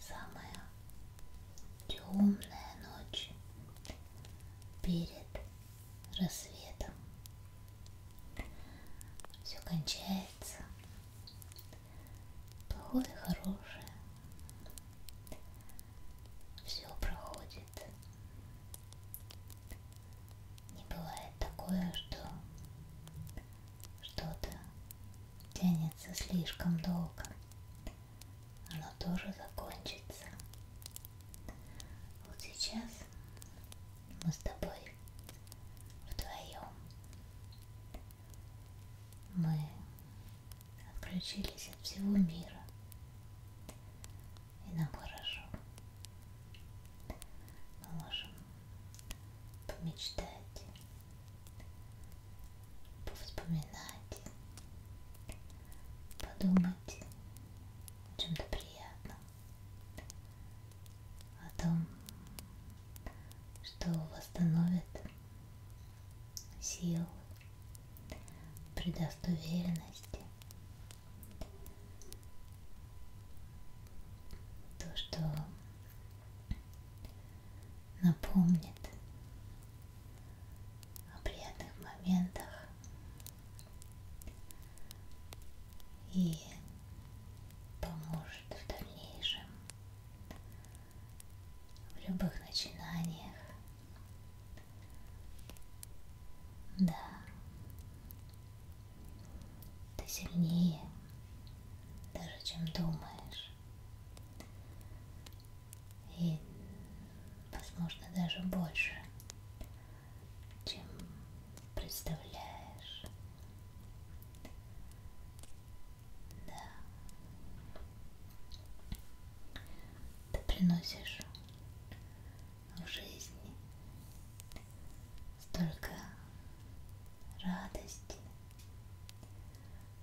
Самая темная ночь перед рассветом. Все кончается. Плохое, хорошее. Все проходит. Не бывает такое, что что-то тянется слишком долго, оно тоже закончится. Вот сейчас мы с тобой вдвоем. Мы отключились от всего мира. И нам хорошо. Мы можем помечтать повспоминать, подумать о чем-то приятном, о том, что восстановит сил, придаст уверенности. То, что напомнит о приятных моментах и поможет в дальнейшем в любых начинаниях. Да, ты сильнее, даже чем думаешь. И, возможно, даже больше, чем представляешь. Да. Ты приносишь в жизни столько радости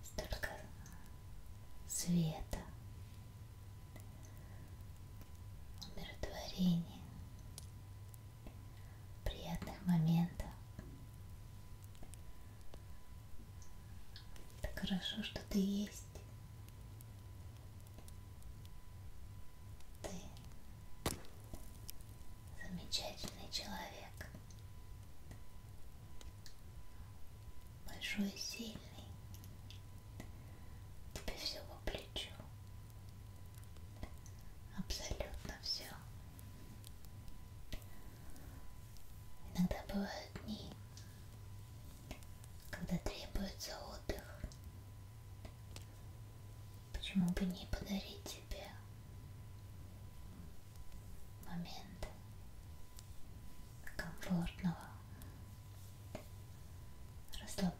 столько света, умиротворения, приятных моментов. Так хорошо, что ты есть. Ты замечательный человек большой и сильный. Тебе все по плечу. Абсолютно все. Иногда бывают дни, когда требуется отдых. Почему бы не подарить тебе момент комфортного, расслабляющего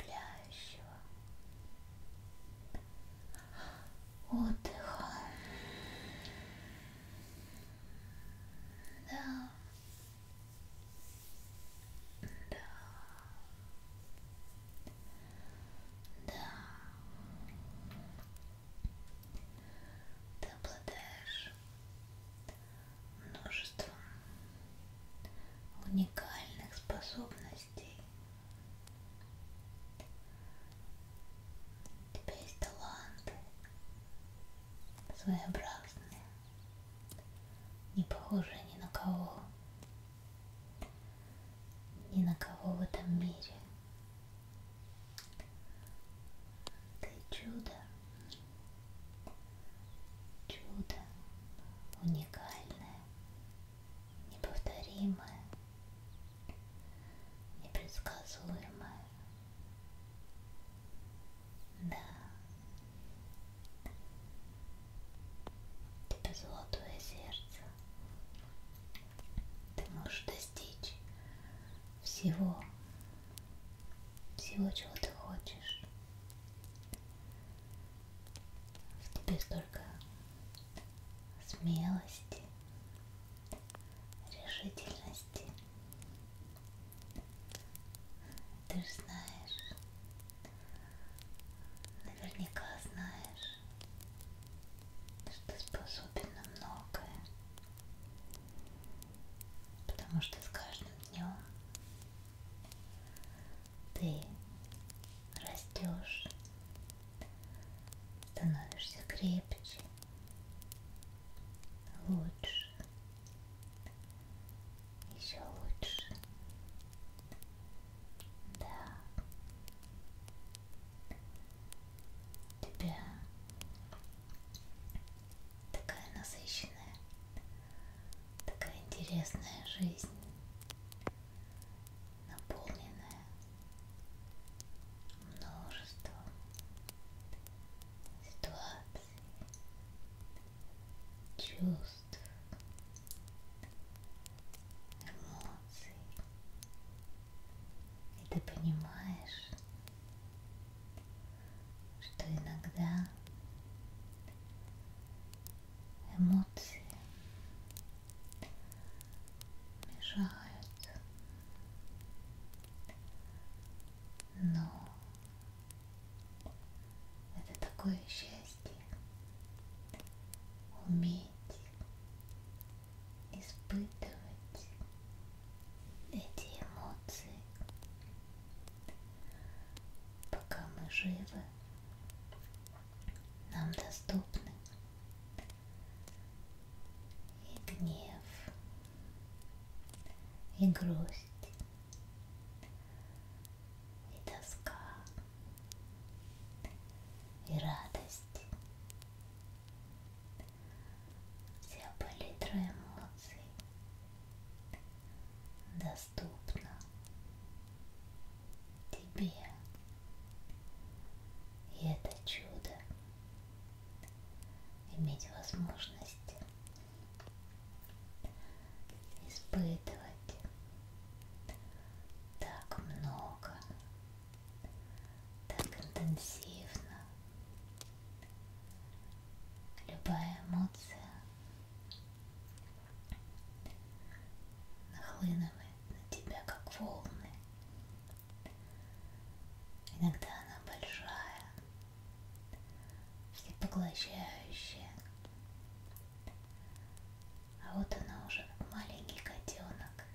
отдыха. Да. Да. Да. Ты обладаешь множеством уникальных способностей. У тебя есть таланты своеобразные, не похожие ни на кого, ни на кого в этом мире. Ты чудо, чудо уникальное, неповторимое, непредсказуемое. Да. Тебе золотое сердце. Ты можешь достичь всего, всего, чего ты хочешь. В тебе столько смелости, решительности. Ты же знаешь, наверняка знаешь, что способен на многое, потому что с каждым днем ты растешь, становишься крепче, лучше, еще лучше. Да тебя такая насыщенная, такая интересная жизнь, наполненная множеством ситуаций, чувств, эмоций. И ты понимаешь, что иногда эмоции мешают, но это такое счастье уметь испытывать эти эмоции, пока мы живы, нам доступны и гнев, и грусть, и тоска, и радость. Вся палитра эмоций доступна тебе. И это чудо иметь возможность испытывать так много так интенсивно. Любая эмоция нахлынывает на тебя как волны. Иногда она большая, всепоглощающая. А вот она уже как маленький котенок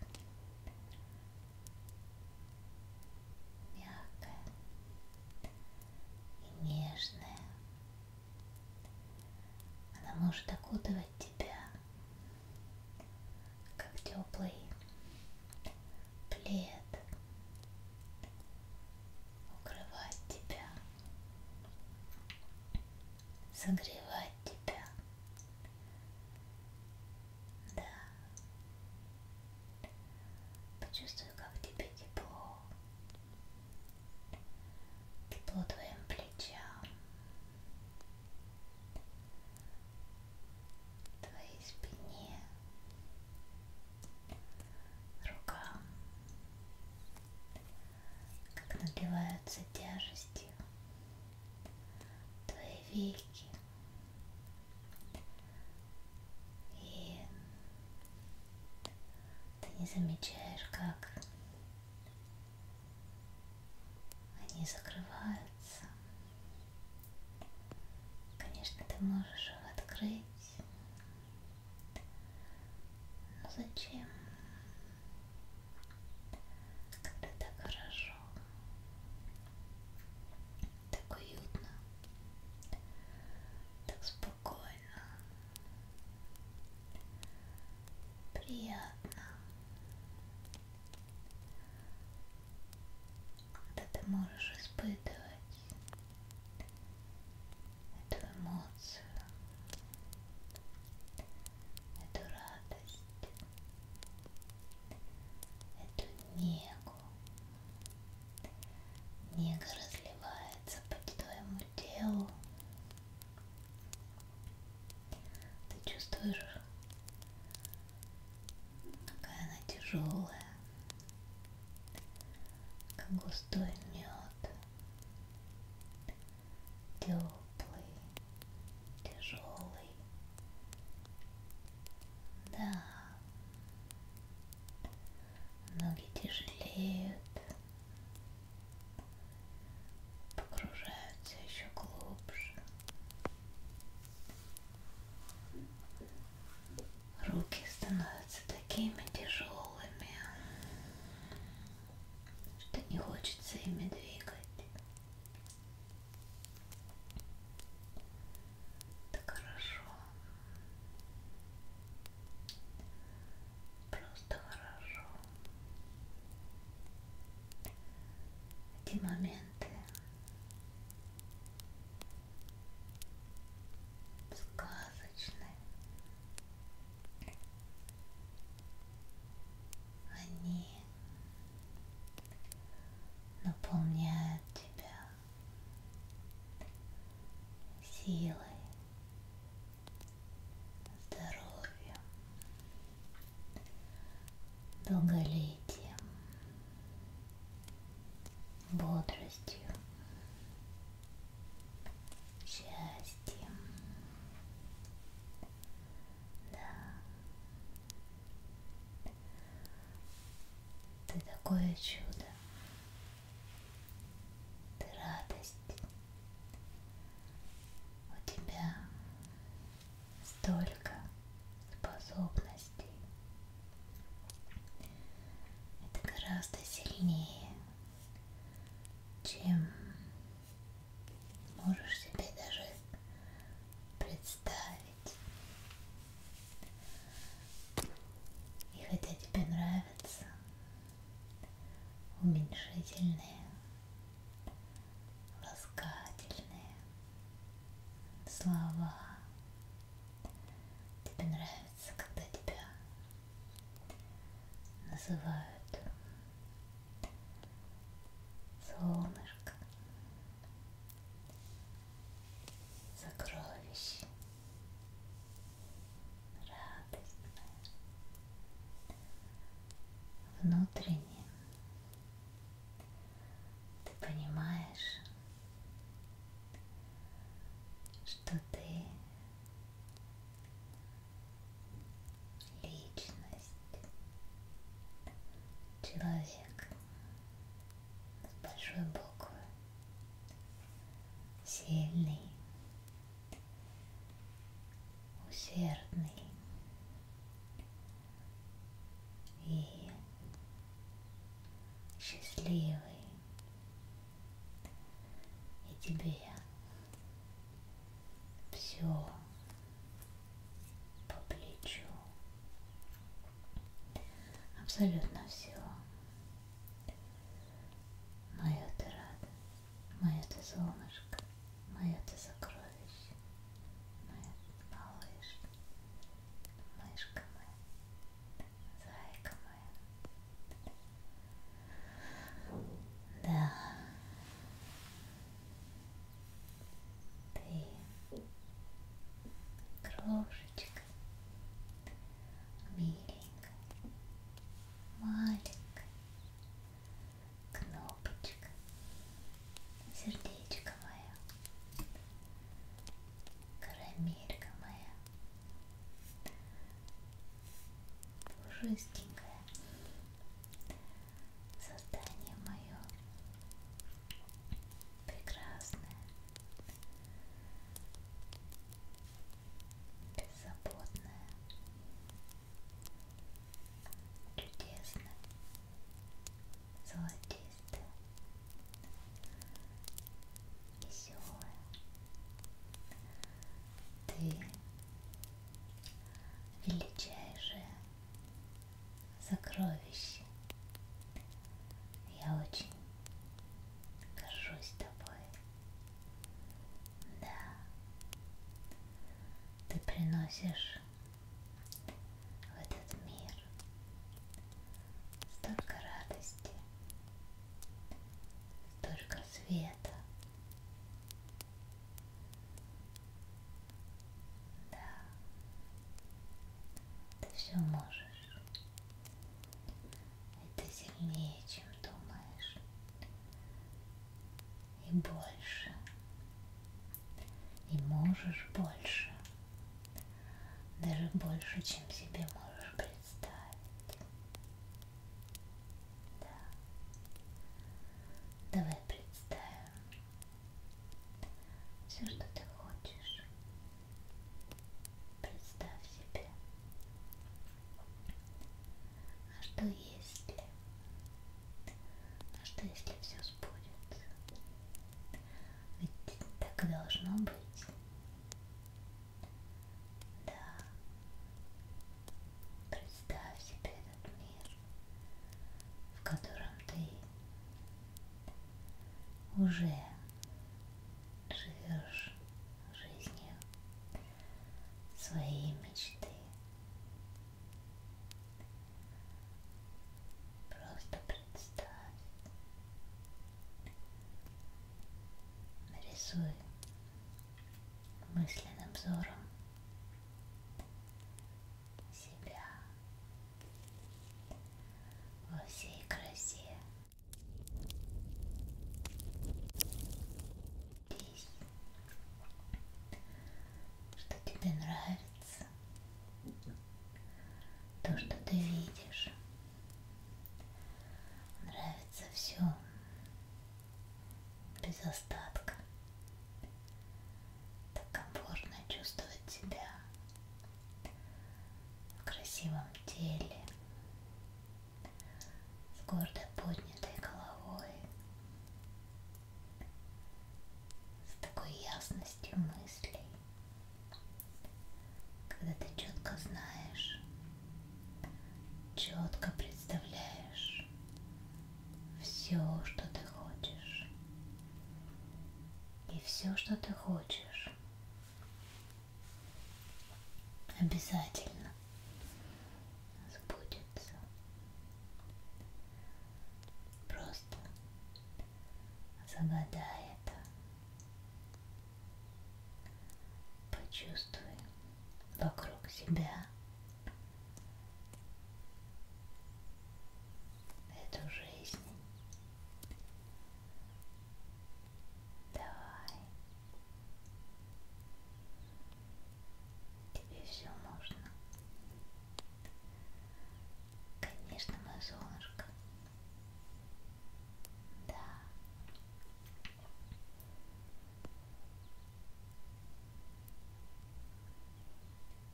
мягкое и нежное. Она может окутывать тебя, как теплый плед, укрывать тебя, согревать тебя. Да. Почувствую, как тебе тепло. Тепло твоим плечам. Твоей спине. Рукам. Как нагреваются тяжестью. Твои веки. И ты не замечаешь, как они закрываются. Конечно, ты можешь их открыть. Но зачем? Когда так хорошо лежал. Так уютно, так спокойно, приятно. Когда ты можешь испытывать эту эмоцию, эту радость эту негу. Нега разливается по твоему телу. Ты чувствуешь, какая она тяжелая, как густой мед, теплый, тяжелый. Да, ноги тяжелеют, погружаются еще глубже. Руки становятся такими тяжелыми, что не хочется ими двигать. Так хорошо. Просто хорошо. Эти моменты сказочные. Они наполняет тебя силой, здоровьем, долголетием, бодростью, счастьем. Да, ты такое чудо, ты радость, у тебя столько способностей. Это гораздо сильнее, чем можешь себе даже представить. И хотя тебе нравятся уменьшительные, ласкательные слова, тебе нравится, когда тебя называют солнышко сокровище радостное внутренне ты понимаешь что ты личность человек с большой буквы. Сильный, усердный и счастливый. И тебе все по плечу. Абсолютно все. Моя ты рада, моя ты солнышко, моя ты сокровище, моя малыш, мышка моя, зайка моя. Да ты крошечка, миленькая, маленькая кнопочка, сердечко мое, карамелька моя, пушистенькая создание мое прекрасное, беззаботное, чудесное, золотистое, веселое. Ты величайшая сокровище. Я очень горжусь тобой. Да, ты приносишь в этот мир столько радости, столько света. Да, ты все можешь. Это сильнее, чем думаешь. И больше. И можешь больше. Даже больше, чем себе можешь представить. Да. Давай представим, все, что ты хочешь. Представь себе, а что если, а что если все сбудется? Ведь так и должно быть. Да. Представь себе этот мир, в котором ты уже живешь жизнью своей мечты. Просто представь, нарисуй мысленным взором себя во всей красе. Здесь, что тебе нравится, то, что ты видишь, нравится все без остатка так комфортно чувствовать себя в красивом теле, с гордо поднятой головой, с такой ясностью мыслей, когда ты четко знаешь, четко представляешь все, что ты хочешь и все, что ты хочешь. Обязательно сбудется. Просто загадай это. Почувствуй вокруг себя эту жизнь. Давай. Тебе все можно. Конечно, мое солнышко. Да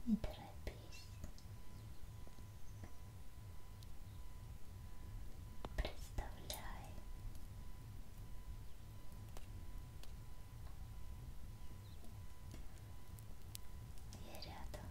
не торопись. Представляй. Я рядом.